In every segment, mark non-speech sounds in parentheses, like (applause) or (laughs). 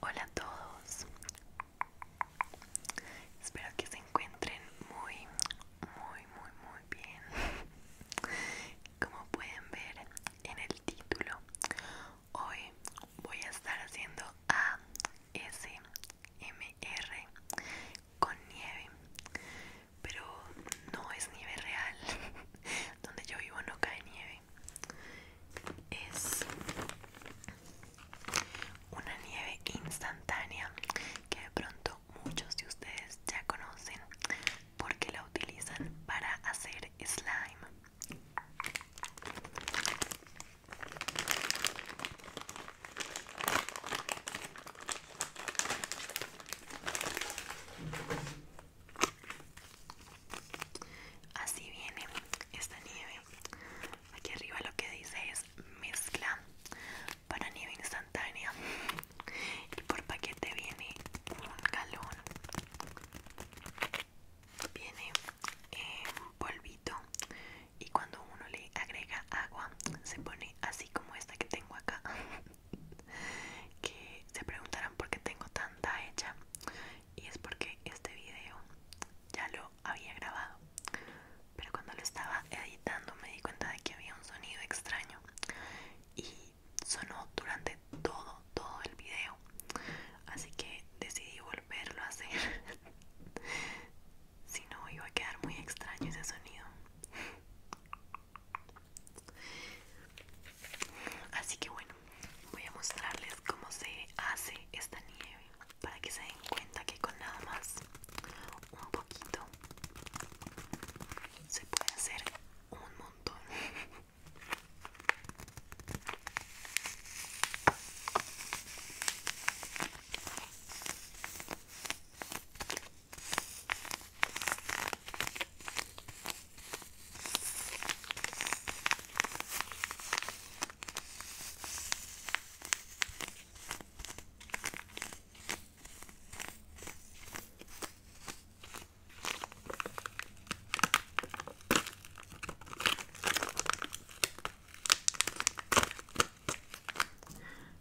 Hola a todos, espero que se encuentren muy, muy, muy, muy bien. (laughs) Como pueden ver en el título, hoy voy a estar haciendo ASMR con nieve pero no es nieve real. (laughs) Donde yo vivo no cae nieve. Es una nieve instantánea que de pronto muchos de ustedes ya conocen porque la utilizan para hacer slime. Así viene esta nieve. Aquí arriba lo que dice es mezcla para nieve instantánea. Y por paquete viene un galón. Viene eh, polvito. Y cuando uno le agrega agua, se pone así como esta que tengo acá (laughs) que se preguntarán por qué tengo tanta hecha y es porque este video ya lo había grabado pero cuando lo estaba editando me di cuenta de que había un sonido extraño y sonó durante todo todo el video así que decidí volverlo a hacer (laughs) Si no, iba a quedar muy extraño ese sonido. Así que bueno, voy a mostrarles cómo se hace esta nieve para que se den cuenta que con nada más un poquito se puede hacer un montón.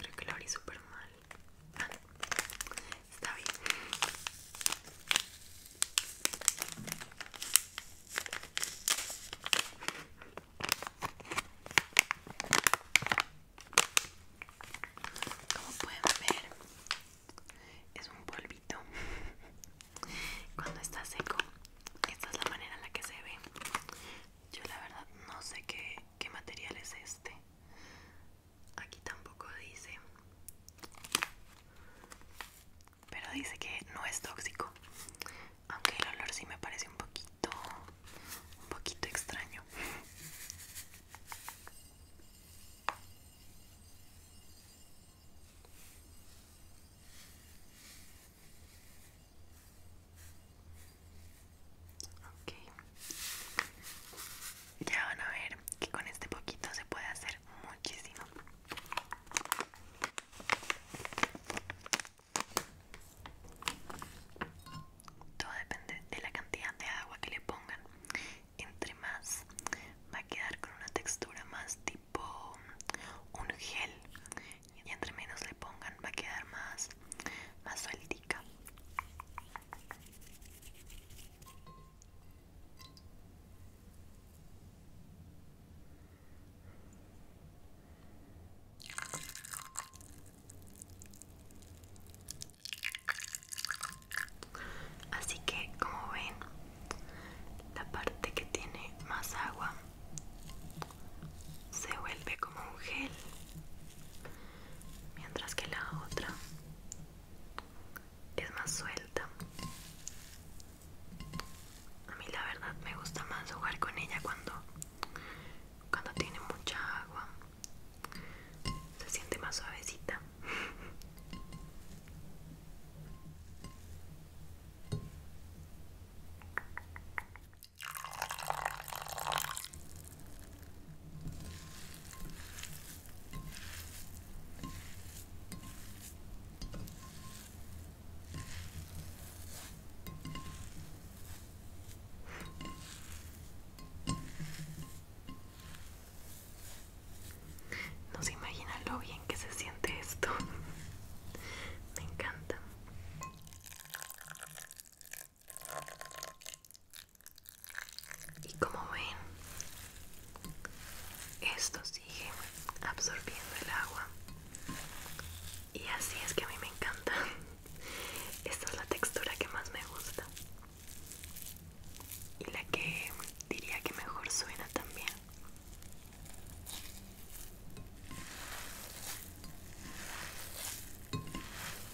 Creo que lo abrí súper mal. Está bien. Como pueden ver, es un polvito. Cuando está seco, esta es la manera en la que se ve. Yo la verdad no sé qué qué material es este. Aquí tampoco dice. Pero dice que no es tóxico. Aunque el olor sí me parece un poquito un poquito extraño. Ok. Ya van a ver que con este poquito se puede hacer muchísimo. Todo depende de la cantidad de agua que le pongan. Entre más va a quedar con una textura más tipo un gel. Y entre menos le pongan va a quedar más, más suelto. Así que como ven, la parte que tiene más agua se vuelve como un gel mientras que la otra es más suelta. A mí la verdad me gusta más jugar con ella cuando, cuando tiene mucha agua. Se siente más suavecita. No se imaginan lo bien que se siente esto. (laughs) Me encanta. Y como ven, esto sigue absorbiendo el agua. Y así es que a mí me encanta. (laughs) Esta es la textura que más me gusta. Y la que diría que mejor suena también.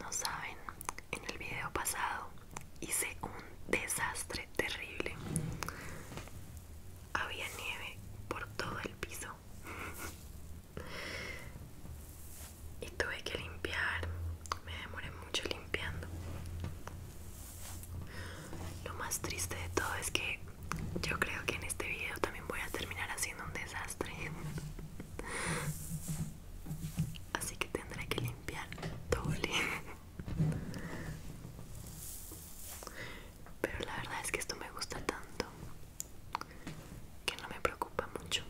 No saben, en el video pasado hice un desastre terrible. Había nieve por todo el piso. y tuve que limpiar. Me demoré mucho limpiando. Lo más triste de todo es que yo creo que en este video también voy a terminar haciendo un desastre. Así que tendré que limpiar Todo Pero la verdad es que esto me gusta tanto que no me preocupa mucho.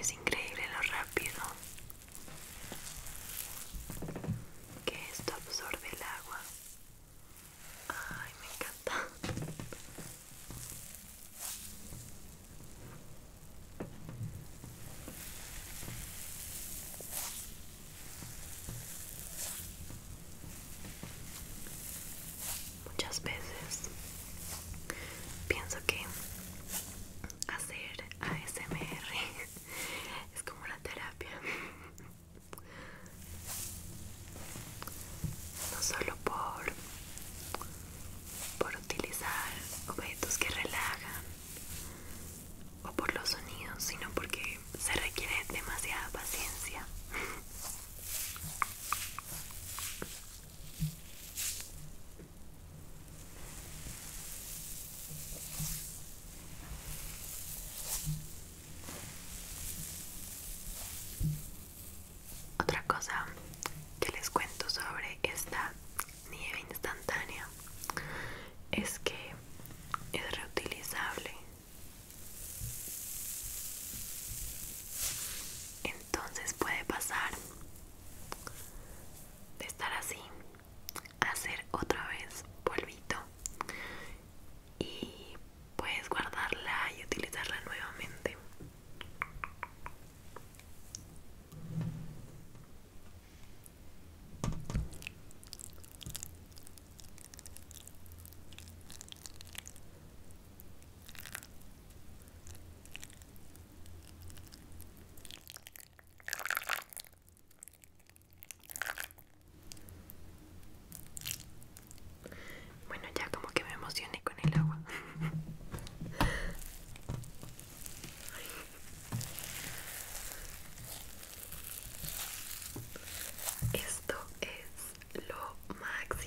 Es increíble lo rápido que esto absorbe el agua. Ay, me encanta. Muchas veces pienso que hacer ASMR (laughs) es como una terapia. (laughs) No solo por por utilizar objetos que relajan, o por los sonidos, sino porque se requiere demasiada paciencia. Otra cosa que les cuento sobre esta nieve instantánea es que es reutilizable entonces puede pasar de estar así a hacer otra vez polvito y puedes guardarla y utilizarla nuevamente bueno, ya como que me emocioné con el agua. (laughs) Esto es lo máximo.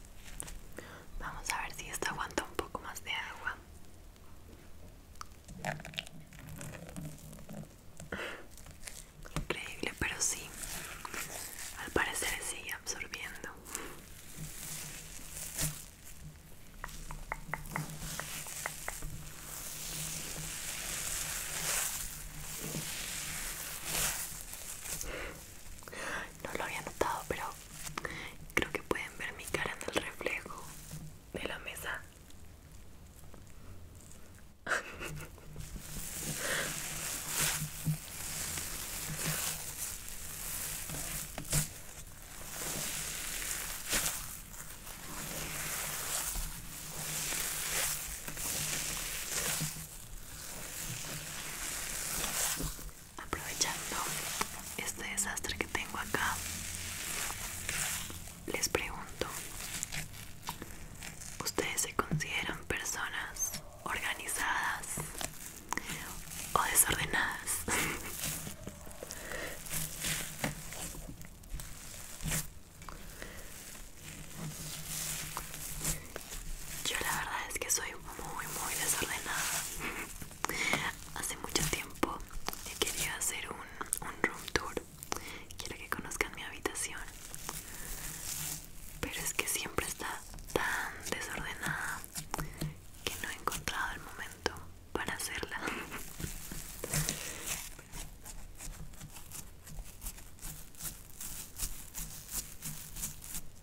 Vamos a ver si esto aguanta un poco más de agua. Increíble, pero sí. Al parecer sigue absorbiendo. No lo había notado, pero Creo que pueden ver mi cara en el reflejo de la mesa aprovechando este desastre que tengo acá, les pregunto, ¿ustedes se consideran personas organizadas o desordenadas? (laughs) Yo la verdad es que soy muy muy desordenada Hace mucho tiempo quería hacer un, un room tour. Quiero que conozcan mi habitación. Pero es que siempre está tan desordenada que no he encontrado el momento para hacerla.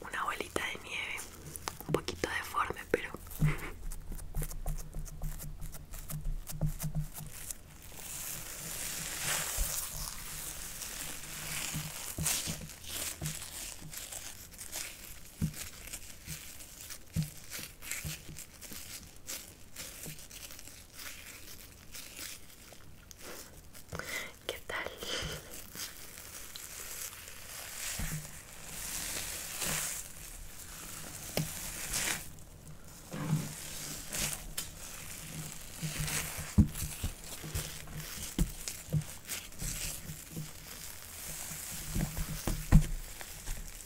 Una bolita de nieve, un poquito deforme, pero... ¿Qué tal?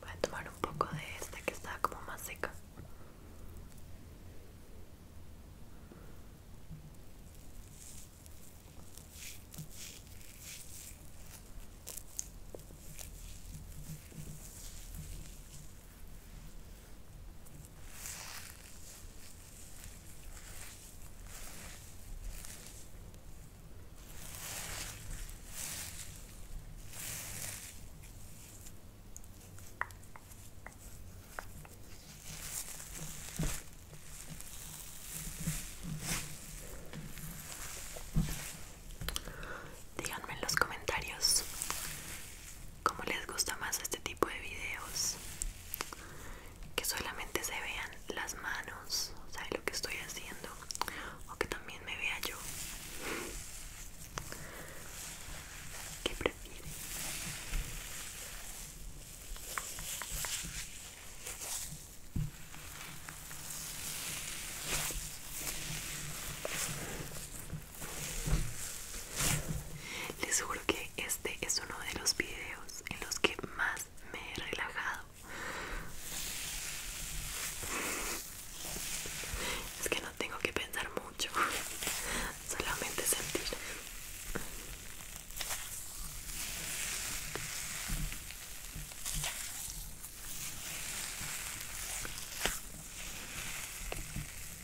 Voy a tomar un poco de esta que está como más seca. Díganme en los comentarios como les gusta más este tipo de videos que solamente se vean las manos o sea lo que estoy haciendo o que también me vea yo ¿Qué prefieren? Les juro que este es uno de los videos en los que más me he relajado. Es que no tengo que pensar mucho, (laughs) solamente sentir.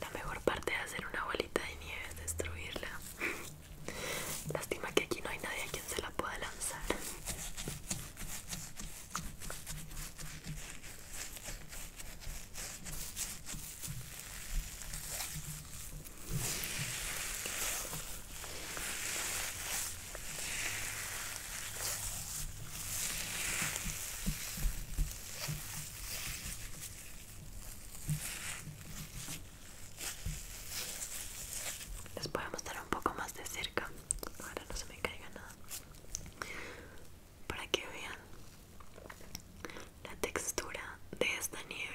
La mejor parte de hacer una bolita de nieve es destruirla. (laughs) Lástima que aquí no hay nadie a quien se la pueda lanzar. Les voy a mostrar un poco más de cerca. Ahora no se me caiga nada. Para que vean la textura de esta nieve.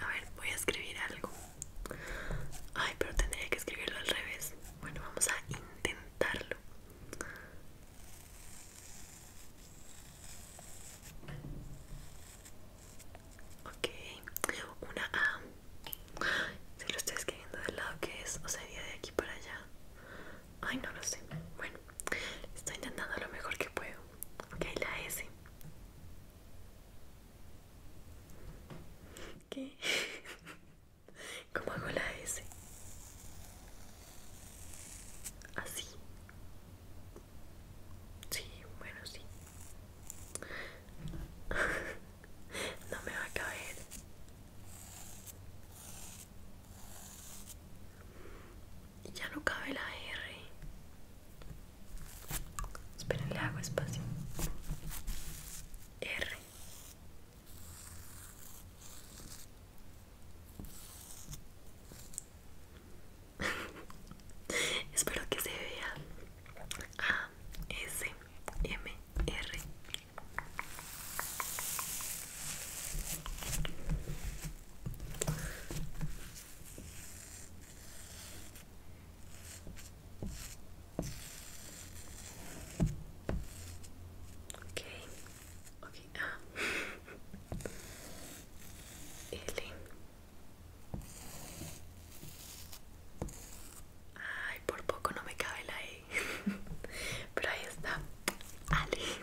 A ver, voy a escribir algo. Ay, pero tendría que escribirlo al revés. Bueno, vamos a intentarlo. Ok, una A. Se lo estoy escribiendo del lado que es, o sea, ¿iría de aquí para allá. Ay, no lo sé. Bueno, estoy intentando lo mejor que puedo. Ok, la S. ¿Qué? (laughs) ¿Cómo hago la S? Así. Sí, bueno, sí. (laughs) no me va a caber Ya no cabe la R. Esperen, le hago espacio. R. (laughs) Espero que se vea A S M R Okay. Okay. Ah. L. Ay, por poco no me cabe la E. (laughs) Pero ahí está. Ale.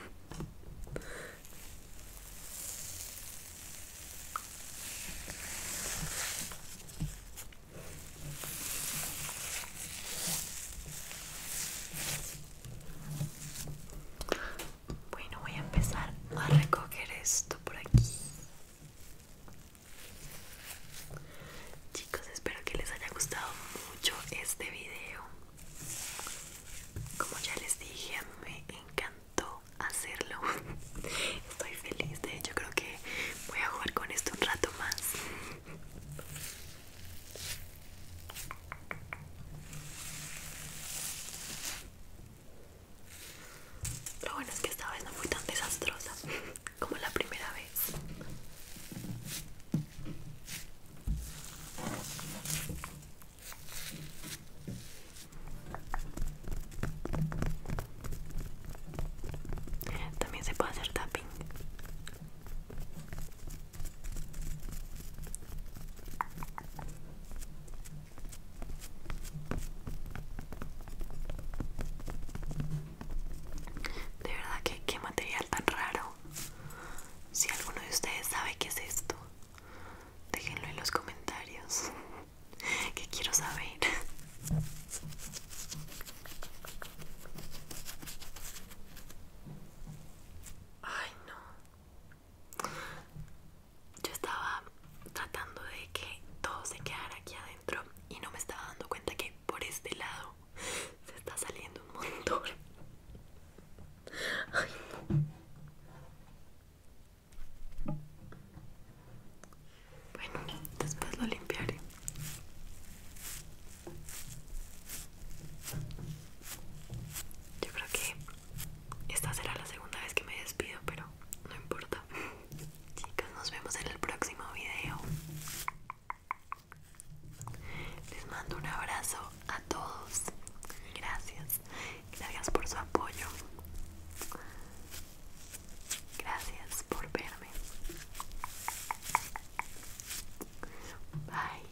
Bueno, voy a empezar a recoger esto por aquí. Chicos, espero que les haya gustado mucho este video. Como ya les dije, me encantó hacerlo. (laughs) Estoy feliz, de hecho creo que voy a jugar con esto un rato más. Lo bueno es que esta vez no fue tan desastrosa (laughs) como la primera vez. También se puede hacer tapping. De verdad que qué material tan raro. Si alguno de ustedes sabe qué es esto, déjenlo en los comentarios. (laughs) Que quiero saber. Ay, no yo estaba tratando de que todo se quedara aquí adentro y no me estaba dando cuenta que por este lado se está saliendo un montón. Bueno, después lo limpiaré. Yo creo que esta será la segunda vez que me despido, pero no importa. (laughs) Chicos, nos vemos en el próximo video. Les mando un abrazo a todos. Gracias. Gracias por su apoyo. Gracias por verme. Bye.